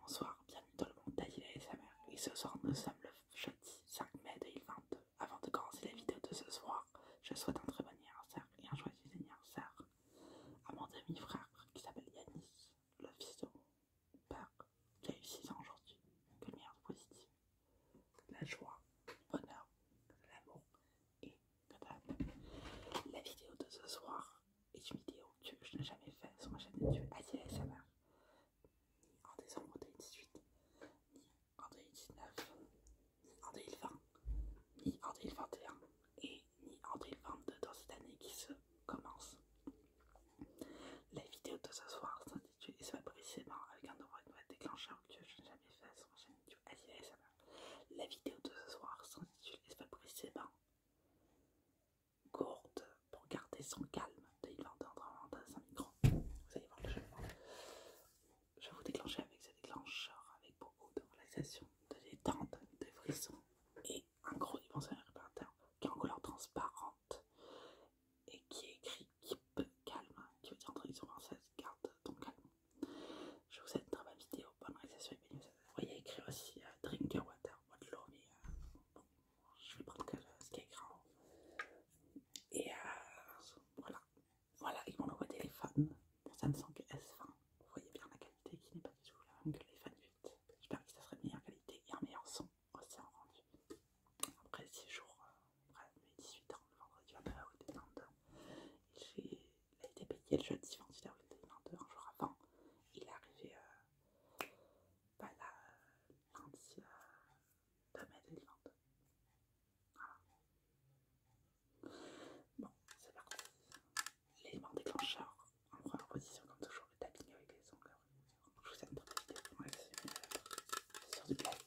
Bonsoir, bienvenue dans le monde d'Aïla et sa mère. Et ce soir, nous sommes le jeudi 5 mai 2022. Avant de commencer la vidéo de ce soir, je souhaite un très bon anniversaire et un joyeux anniversaire à mon ami frère qui s'appelle Yanis, le fils de mon père, qui a eu 6 ans aujourd'hui. Que le positif, la joie, le bonheur, l'amour et que d'âme La vidéo de ce soir est une vidéo oh que je n'ai jamais faite sur ma chaîne YouTube Adi ASMR, ni en décembre 2018, ni en 2019, ni en 2020, ni en 2021, et ni en 2022 dans cette année qui se commence. La vidéo de ce soir s'intitule et se va précisément avec un nouveau déclencheur que je n'ai jamais fait sur ma chaîne YouTube Adi ASMR. La vidéo de ce soir s'intitule et se va précisément gourde pour garder son calme de il à un micro. Vous allez voir le jeu. Je vais vous déclencher avec ce déclencheur avec beaucoup de relaxation, de détente, de frissons et un gros dimensionnel réparateur qui est en couleur transparente et qui écrit Keep Calme, qui veut dire en traduction française garde ton calme. Je vous souhaite une très bonne vidéo, bonne réalisation et Vous voyez écrit aussi euh, Drink your water de l'eau, mais bon, je vais prendre ce qui est grand. Et euh, voilà. Voilà, ils m'ont envoyé des fans. Samsung S20. Vous voyez bien la qualité qui n'est pas du tout la même que les fans 8. J'espère que ça serait de meilleure qualité et un meilleur son aussi en rendu. Après 6 jours, euh, après mes 18 ans, le vendredi 29 à 2022, il a été payé le jeudi 28 à 2022, un jour avant. Il est arrivé euh, pas la Palancia de Vivante. Voilà. Bon, c'est parti. L'élément déclencheur, En première position comme toujours, le tapping avec les ongles. Je vous aime pour cette vidéo. Ouais, c'est sur du plastique.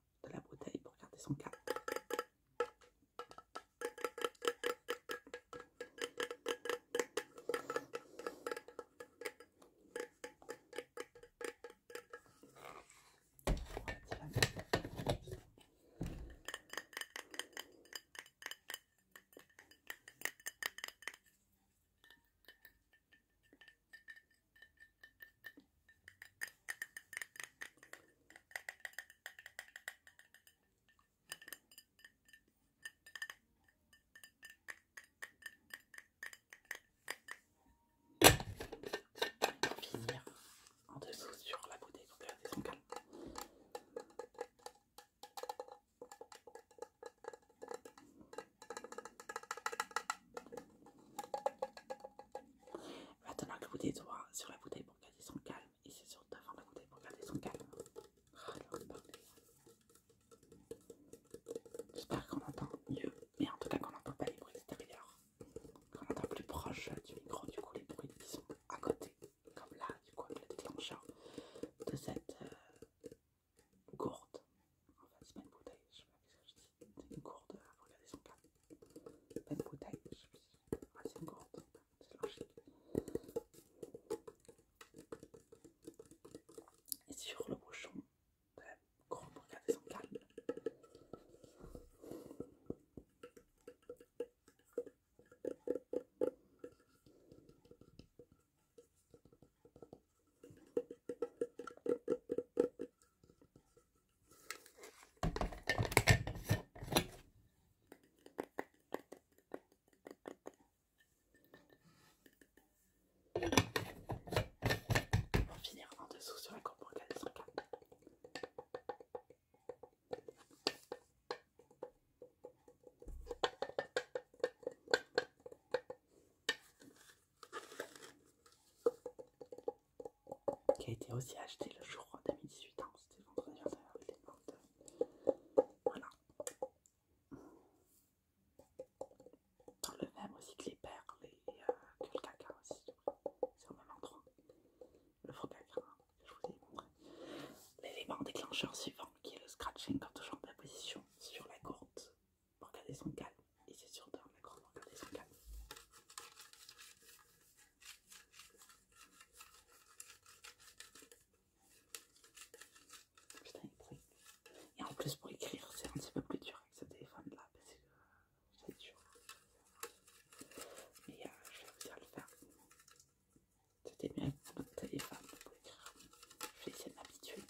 de la bouteille pour garder son calme finir en dessous sur la bouteille pour garder son Maintenant que vous des doigts sur la bouteille pour garder son calme. Et c'est sur devant la bouteille pour garder son calme. Ah, J'espère qu'on entend mieux. Mais en tout cas qu'on n'entend pas les bruits extérieurs. Qu'on entend plus proche du micro, du coup les bruits qui sont à côté. Comme là, du coup, le déclencheur de cette euh, gourde, gourde. fait c'est pas bouteille, je sais pas ce que je dis. C'est une gourde, euh, regardez son C'est Pas de bouteille, ah, c'est une gourde, c'est logique. Et sur le bouchon de regardez son calme. Pour finir en dessous sur la courbe de 5 qui a été aussi acheté hein, le jour de 2018, ans. c'était vendredi à Voilà. Dans le même aussi que les perles et euh, que le caca aussi, c'est au même endroit. Le faux caca hein, je vous ai montré. L'élément déclencheur suivant qui est le scratching, quand on change de position sur la courte pour garder son calme. Et c'est surtout d'un accord pour garder son calme. Putain, il Et en plus, pour écrire, c'est un petit peu plus dur avec ce téléphone là parce que c'est dur. Mais euh, je vais vous dire le faire. C'était mieux avec mon téléphone pour écrire. Je vais essayer de m'habituer.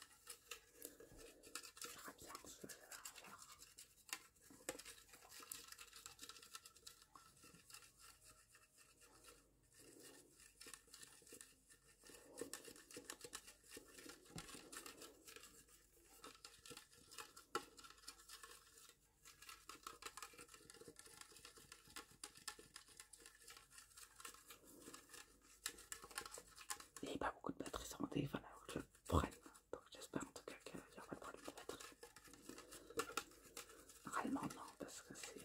Il n'y a pas beaucoup de batterie sur mon téléphone, alors prennent. Donc j'espère en tout cas qu'il n'y aura pas de problème de batterie. Réellement non, parce que c'est...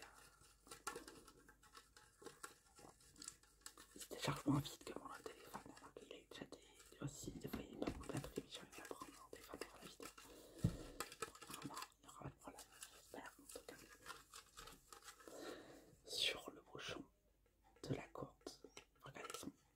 Il se décharge moins vides que mon téléphone, alors qu'il est déjà des, aussi, des fois il n'y a pas beaucoup de batterie, mais j'ai envie de la prendre mon téléphone pour la vidéo. donc Vraiment, il n'y aura pas de problème, j'espère en tout cas. Sur le bouchon de la courte, regardez son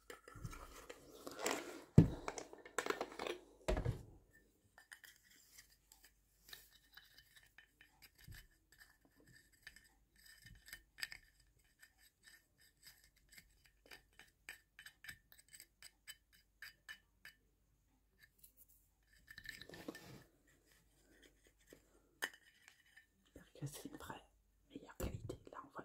J'espère que c'est une vraie meilleure qualité. Là, on voit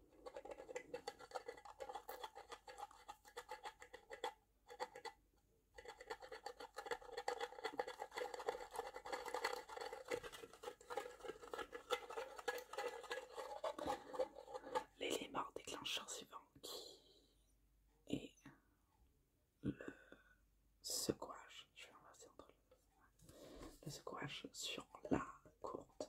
L'élément déclencheur suivant qui est le secouage. Je vais inverser entre Le secouage sur la courte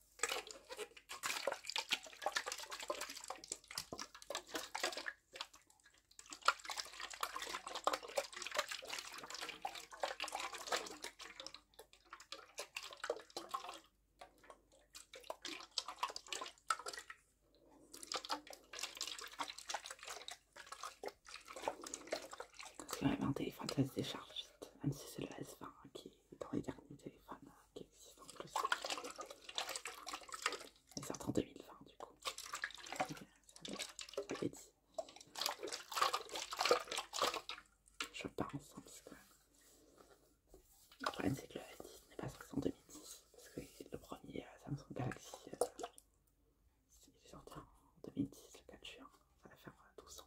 Parce que un téléphone, ça se décharge Même si c'est le S20 qui dans les derniers téléphones hein. qui existent en plus. ils sortent en 2020 du coup. Ça dit. Je pense, parce que le problème c'est que le 10 n'est pas sorti en 2010, parce que le premier euh, Samsung Galaxy, euh, il est sorti en 2010, le 4 juin ça va faire 12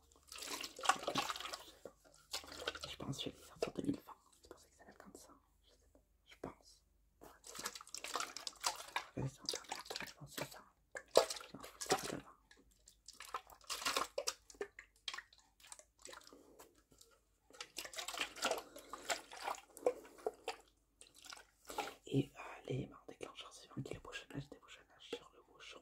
euh, ans. Je pense que je vais le faire pour 2020, c'est pour ça que ça va être comme ça. Je pense. Je vais sur internet, je pense que c'est ça. Non, c'est pas là-bas. Et euh, l'élément déclencheur suivant qui est le bouchonnage, débouchonnage sur le bouchon.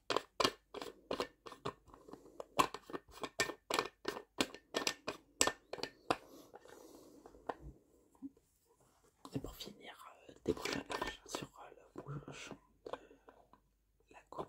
Et pour finir, débrouille la page sur euh, la bouche de la courbe.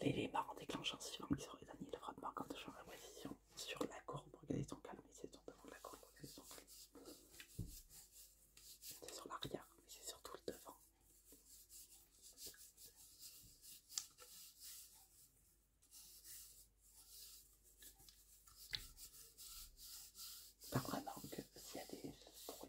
L'élément déclencheur suivant qui serait dernier le frottement quand je changes la position sur la courbe pour garder ton calme. Et c'est ton devant de la courbe pour garder ton calme. C'est sur l'arrière, mais c'est surtout le devant. Par un donc s'il y a des,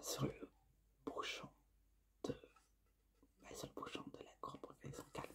Sur le bouchon de, sur le bouchon de la courbe profession calme.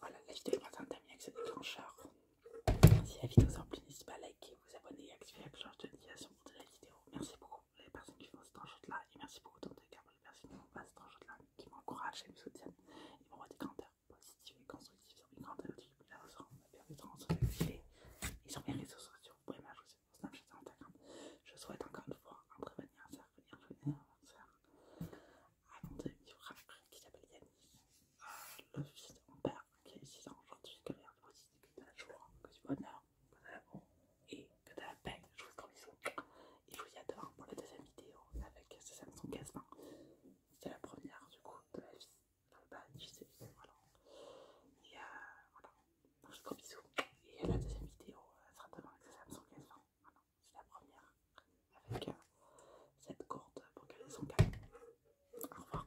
Voilà, la vidéo est maintenant terminée avec ce déclencheur. Si la vidéo vous a plu, n'hésitez pas à liker, vous abonner et activer la cloche de notification. Merci beaucoup les personnes qui font cette enjeu là et merci beaucoup tant pour les personnes qui font pas cet là, qui m'encouragent et me soutiennent et m'envoient des commentaires positifs et constructifs sur mes commentaires YouTube. Là, vous serez permettant de se activer et sur mes réseaux sociaux. Vous pouvez m'ajouter sur Snapchat et Instagram. Je souhaite encore une fois un très bon anniversaire et un joyeux anniversaire à mon ami frère qui s'appelle Yannis, euh, le fils de mon père qui a 6 ans aujourd'hui, que l'air de positif, que de la joie, que du bonheur et que de la peine Je vous gros bisous. Et je vous dis à demain pour la deuxième vidéo avec ce Samsung S20. la première du coup de la vie. Enfin, bah, je sais, voilà. Et voilà. je vous gros bisous. Et la deuxième vidéo sera demain avec ce Samsung S20. C'est la première avec cette corde pour qu'elle son calme. Au revoir.